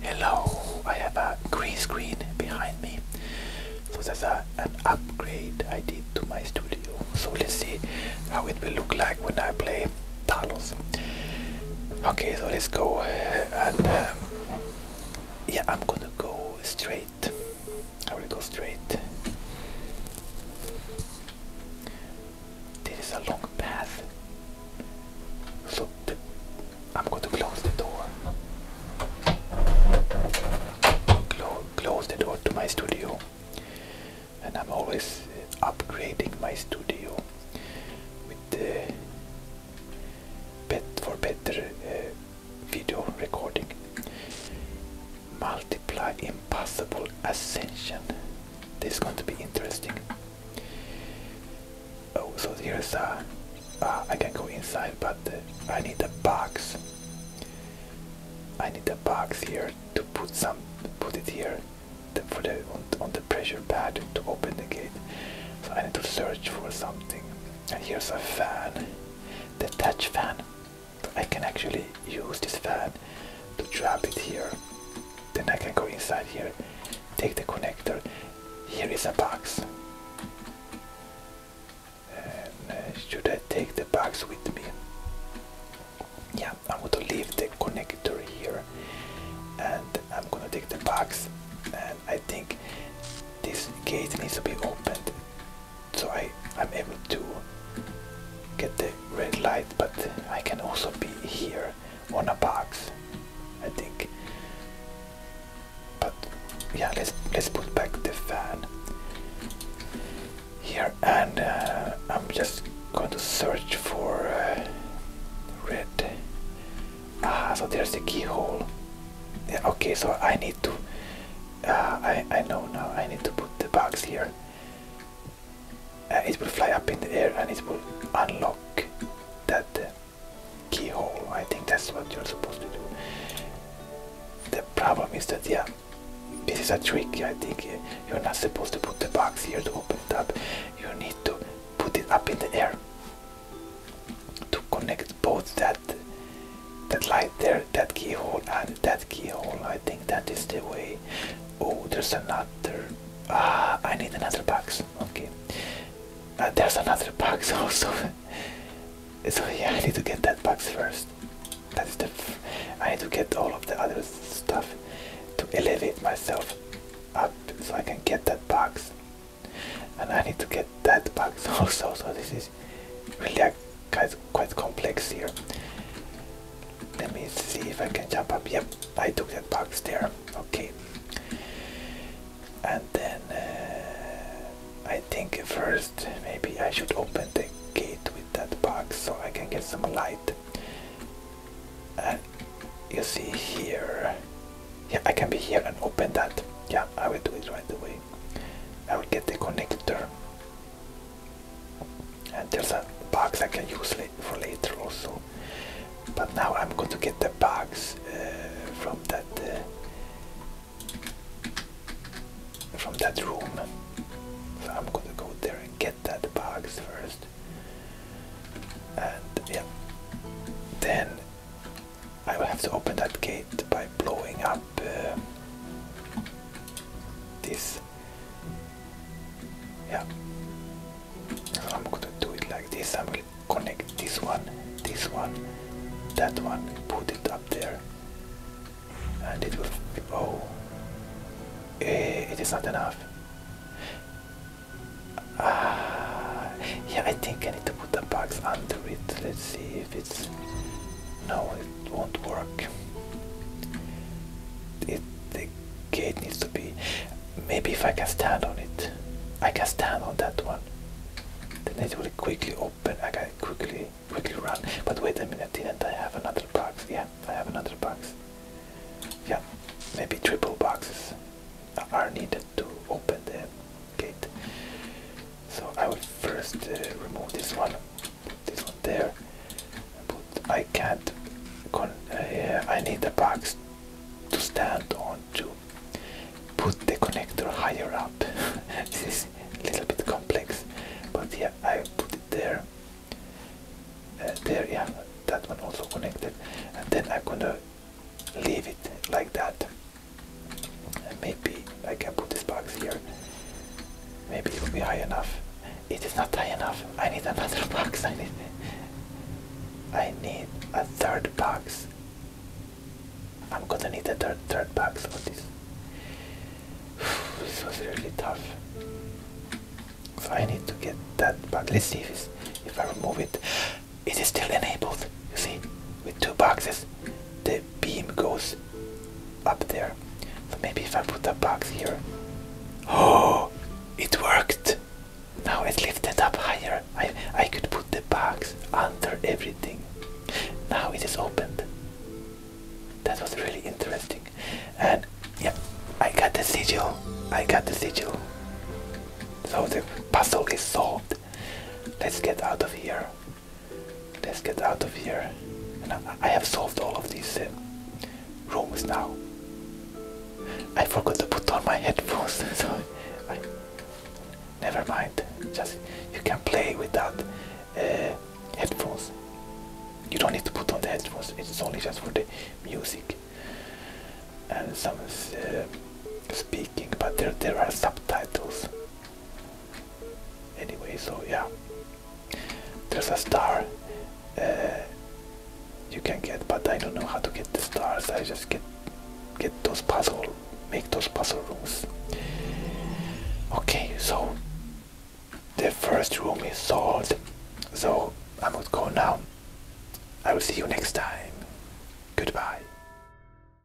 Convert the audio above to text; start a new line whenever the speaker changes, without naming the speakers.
Hello, I have a green screen behind me. So that's an upgrade I did to my studio. So let's see how it will look like when I play Talos. Okay, so let's go uh, and um, yeah, I'm gonna go straight. I will go straight. This is a long path. so I'm going to close the door. Close, the door to my studio. And I'm always uh, upgrading my studio with the bed for better uh, video recording. Multiply impossible ascension. This is going to be interesting. Oh, so here's a. Uh, uh, I can go inside, but I need a box. I need a box here to put some, put it here, the, for the on, the pressure pad to open the gate. So I need to search for something. And here's a fan, the touch fan. I can actually use this fan to trap it here. Then I can go inside here, take the connector. Here is a box. Uh, should I take the box with me? Yeah, I'm going to leave the connector here and I'm going to take the box. And I think this gate needs to be opened so I'm able to get the red light, but I can also be here on a box, I think. But yeah, let's let's put back the fan here, and uh, I'm just going to search for uh, red. Ah, so there's the keyhole. okay, so I need to. Uh, I I know now. I need to put the box here. Uh, it will fly up in the air and it will unlock that uh, keyhole. I think that's what you're supposed to do. The problem is that, yeah, this is a trick. I think uh, you're not supposed to put the box here to open it up. You need to put it up in the air to connect both that that light there, that keyhole, and that keyhole. I think that is the way. Oh, there's a nut chapter. Ah, I need another box. Okay, uh, there's another box also. so yeah, I need to get that box first. That is the. I need to get all of the other stuff to elevate myself up so I can get that box. And I need to get that box also. So this is really quite quite complex here. Let me see if I can jump up. Yep, I took that box there. Okay. And then uh, I think first maybe I should open the gate with that box so I can get some light. And uh, you see here. Yeah, I can be here and open that. Yeah, I will do it right away. I will get the connector and there's a box I can use for later also but now I'm going to get the box uh, from that uh, from that room so I'm going to go there and get that box first and yeah then I will have to open that gate by blowing up uh, this yeah I'm going to do it like this I will connect this one this one that one put it up there and it will oh eh, it is not enough uh, yeah I think I need to put the box under it let's see if it's no it won't work it the gate needs to be maybe if I can stand on it I can stand on that one then it will quickly open I can quickly quickly run but wait a minute didn't I have another box yeah I have another box yeah maybe triple boxes are needed to open the gate so I will first uh, remove this one this one there. But I can't. Con uh, I need a box to stand on to put the connector higher up. this is a little bit complex, but yeah, I put it there. Uh, there, yeah, that one also connected, and then I'm gonna leave it like that. maybe I can put this box here. Maybe it will be high enough. It is not high enough. I need another box. I need. I need a third box. I'm gonna need a third third box for this. this was really tough. So I need to get that But Let's see if if I remove it. It is still enabled. You see, with two boxes, the beam goes up there. maybe if I put a box here. Oh, it worked! Now it lifted up higher. I, I could put the box under everything. Now it is opened. That was really interesting. And yeah, I got the sigil. I got the sigil. So the puzzle is solved. Let's get out of here. Let's get out of here. And I, have solved all of these uh, rooms now. I forgot to put on my headphones, so I, never mind. Just you can play without uh, headphones. You don't need to put on the headphones. It's only just for the music and some uh, speaking. But there, there are subtitles. Anyway, so yeah, there's a star uh, you can get, but I don't know how to get the stars. I just get get those puzzle, make those puzzle rooms. Okay, so the first room is solved, so I must go now. I will see you next time. Goodbye.